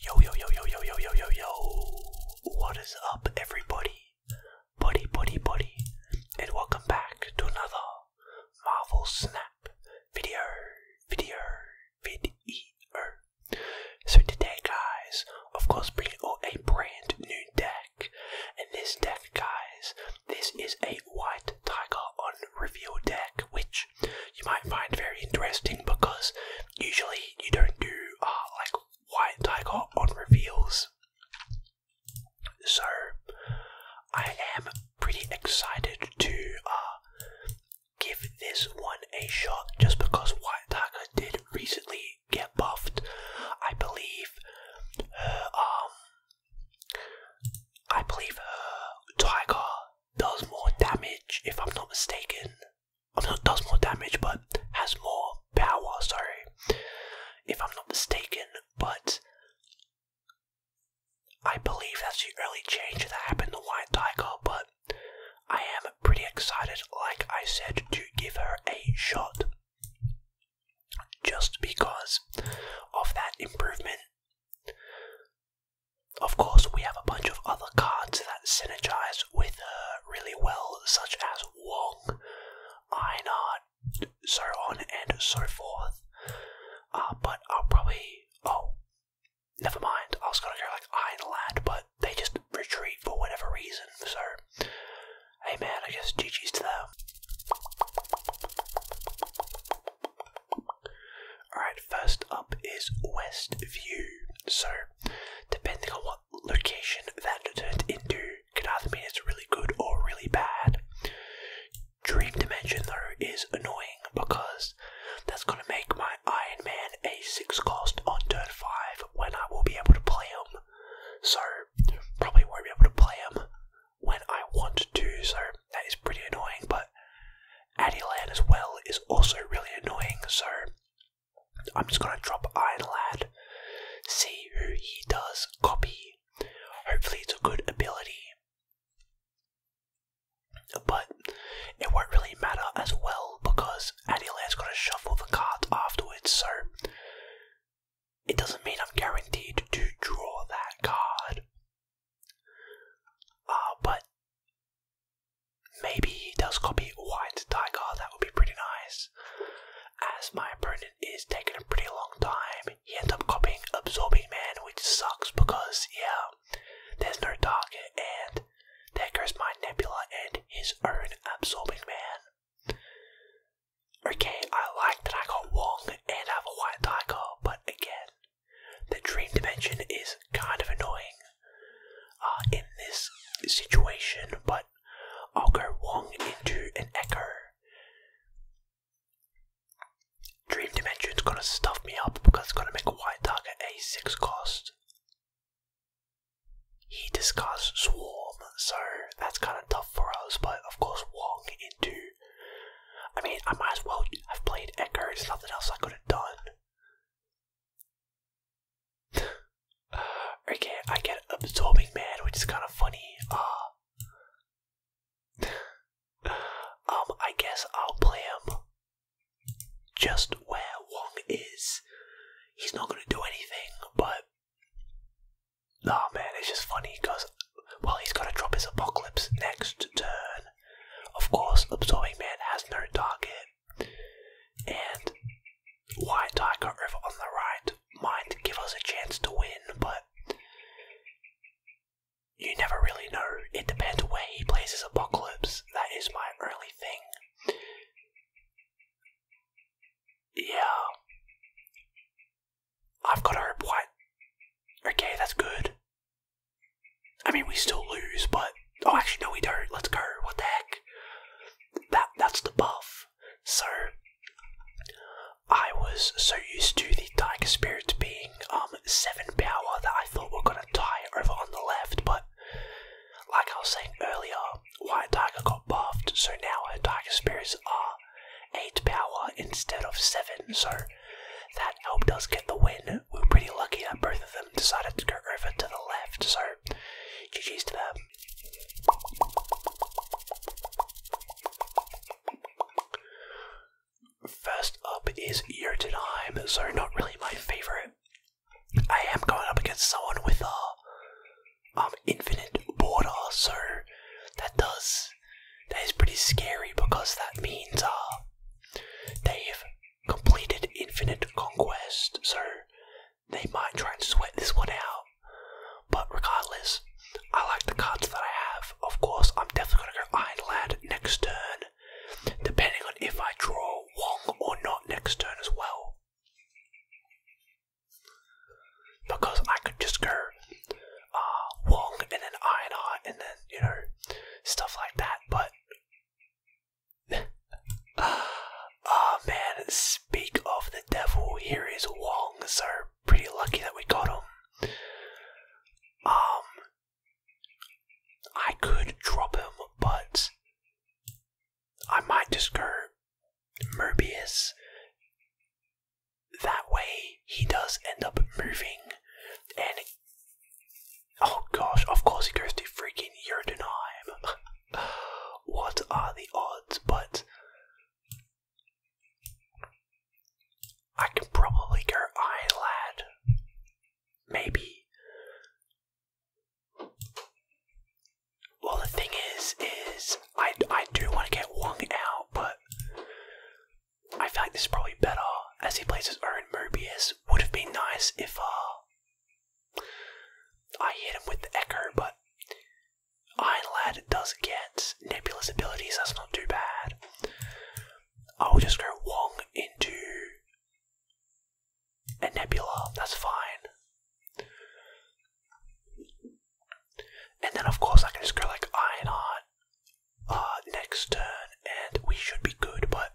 Yo, yo, yo, yo, yo, yo, yo, yo, yo. What is up, everybody? Buddy, buddy, buddy. And welcome back to another Marvel Snap video, video, video. So today, guys, of course, bringing out a brand new deck. And this deck, guys, this is a White Tiger on reveal deck, which you might find very interesting because usually you don't do uh, like white tiger on reveals. So I am pretty excited to uh, give this one a shot just because white tiger did recently get buffed. I believe her um, I believe her tiger does more damage if I'm not mistaken does more damage but has more power, sorry, if I'm not mistaken, but I believe that's the early change that happened to White Tiger, but I am pretty excited, like I said, to give her a shot. Just because of that improvement. Of course, we have a bunch of other cards that synergize with her uh, really well, such as Wong, Einhard, so on and so forth. Uh, but I'll probably. Oh, never mind. I was gonna go like Einlad, but they just retreat for whatever reason, so. Hey man, I guess GG's to them. Alright, first up is Westview. So, depending on what location that turns into, can either mean it's really good or really bad. Dream Dimension, though, is annoying because that's going to make my Iron Man a 6 cost on turn 5 when I will be able to play him. So, probably won't be able to play him when I want to, so that is pretty annoying, but but Addyland as well is also really annoying, so I'm just gonna drop Iron Lad, see who he does copy. Hopefully it's a good ability. But it won't really matter as well because Addyland's gonna shuffle the card afterwards, so it doesn't mean I'm guaranteed to draw that card. Uh, but Maybe he does copy White Tiger, that would be pretty nice. As my opponent is taking a pretty long time, he ends up copying Absorbing Man, which sucks because, yeah, there's no target, and there goes my Nebula and his own Absorbing Man. Okay, I like that I got Wong and I have a White Tiger, but again, the Dream Dimension is kind of annoying. Uh, in this situation, but I'll go Wong into an Echo. Dream Dimension's gonna stuff me up because it's gonna make a white target a 6 cost. He discards Swarm, so that's kind of tough for us, but of course Wong into... I mean, I might as well have played Echo, there's nothing else I could have done okay, I get absorbing man, which is kind of funny. Uh, um, I guess I'll play him just where Wong is. He's not gonna do anything, but oh man, it's just funny because well, he's going to drop his apocalypse next turn. Of course, absorbing man has no target. And White Tiger over on the right might give us a chance to win, but you never really know. It depends where he plays his apocalypse. That is my only thing. Yeah. I've got to White. Okay, that's good. I mean, we still lose, but oh, actually, no, we don't. Let's go. What the heck? That that's the buff. So I was so used to the Tiger Spirit being um seven power that I thought we are gonna tie over on the left, but like I was saying earlier, White Tiger got buffed, so now her Tiger Spirits are eight power instead of seven. So that helped us get the win. We are pretty lucky that both of them. Um, decided to go over to the left, so GG's to them. First up is Jotunheim, so not really my favourite. I am going up against someone with a um, infinite border, so that does that is pretty scary because that means uh Dave completed Infinite Conquest, so they might try and sweat this one out. But regardless, I like the cards that I have. Of course, I'm definitely going to go Iron Lad next turn, depending on if I draw Wong or not next turn as well. Because I could just go uh, Wong and then Iron Art and then, you know, stuff like that, but oh man, speak of the devil, here is Wong, so pretty lucky that we got him. Um, I could drop him, but I might just go That way, he does end up moving and Oh gosh, of course he goes to freaking Jotunheim. what are the odds? But I can probably go lad. Maybe. Well, the thing is, is I, I do want to get Wong out, but I feel like this is probably better as he plays his own Mobius. Would have been nice if uh, I hit him with the Echo, but Lad does get Nebula's abilities, that's not too bad. I'll just go Wong into a Nebula, that's fine. And then of course I can just go like Ironheart uh, next turn and we should be good, but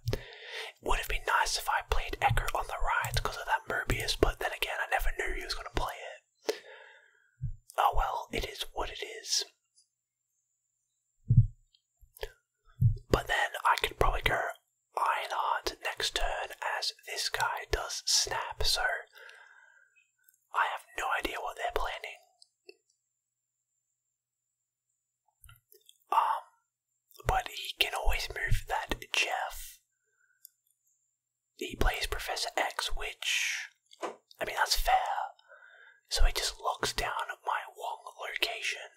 would have been nice if I played Eckert on the right because of that Mobius, but then again, I never knew he was going to play it. Oh well, it is what it is. But then I could probably go Ironheart next turn as this guy does snap, so I have no idea what they're planning. Um, but he can always move that Jeff. He plays Professor X, which, I mean, that's fair. So he just locks down my wrong location.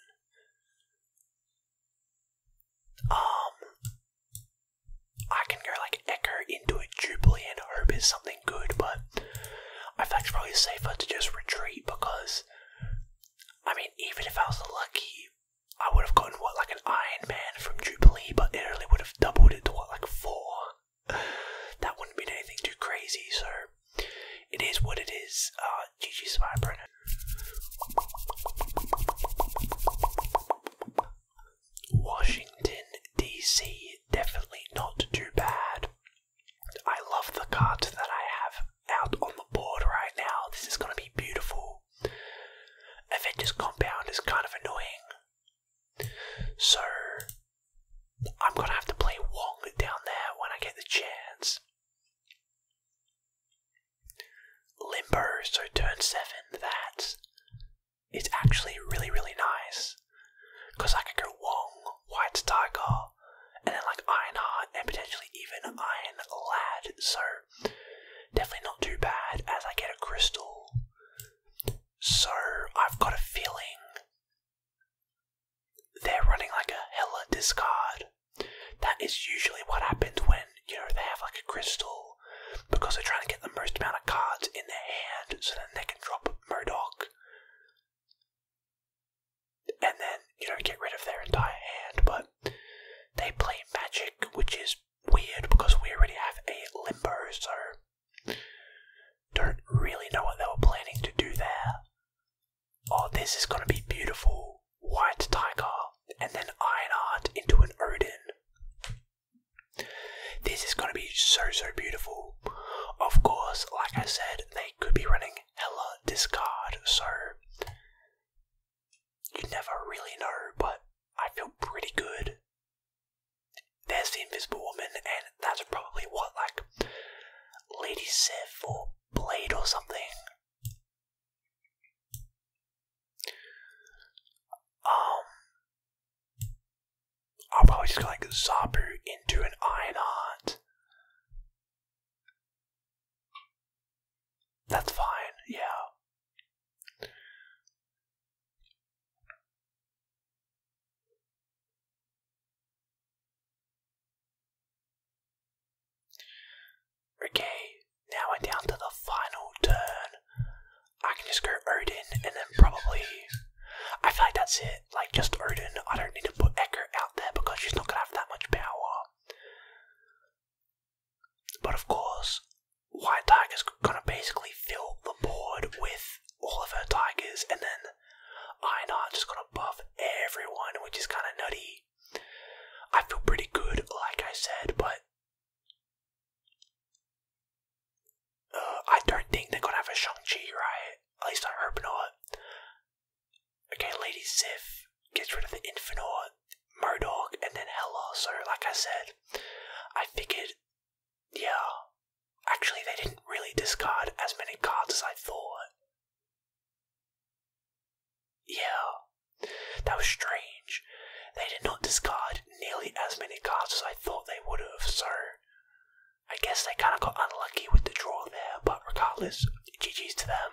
Um, I can go like Echo into a Jubilee and hope it's something good, but I think it's probably safer to just retreat because, I mean, even if I was lucky, I would have gotten what like an Iron Man from Jubilee, but Italy would have doubled it to what like four. That wouldn't be anything too crazy, so it is what it is. Uh, GG Spy Brennan. Washington DC, definitely not too bad. I love the cards that I have out on the board right now. This is going to be beautiful. Avengers Compound is kind of annoying. So, I'm going to have to play Wong down there when I get the chance. Limbo, so turn 7, that is actually really, really nice. Because I could go Wong, White Tiger, and then like Ironheart and potentially even Iron Lad. So definitely not too bad as I get a crystal. So I've got a feeling they're running like a hella discard. That is usually what happens when, you know, they have like a crystal because they're trying to get the most amount of cards in their hand so that they can drop Modoc and then, you know, get rid of their entire hand, but they play Magic, which is weird because we already have a Limbo, so don't really know what they were planning to do there. Oh, this is going to be beautiful. White Tiger, and then Ironheart into an Odin. This is going to be so, so beautiful. Of course, like I said, they could be running hella discard, so you never really know, but I feel pretty good. There's the Invisible Woman, and that's probably what, like, Lady Sif or Blade or something. Um, I'll probably just go like Zabu into an Ironheart. That's fine, yeah. Okay, now down to the final turn. I can just go Odin and then probably. I feel like that's it. Like, just Odin. I don't need to put Echo out there because she's not gonna have that much power. But of course, White Tiger's gonna basically fill the board with all of her tigers, and then Ironheart's just gonna buff everyone, which is kinda nutty. I feel pretty good, like I said, but uh, I don't think they're gonna have a Shang-Chi, right? At least on Urban not. Okay, Lady Sif gets rid of the Infinor, Modok, and then Hela. So, like I said, I figured, yeah, actually, they didn't really discard as many cards as I thought. Yeah, that was strange. They did not discard nearly as many cards as I thought they would have, so I guess they kind of got unlucky with the draw there, but regardless, GG's to them.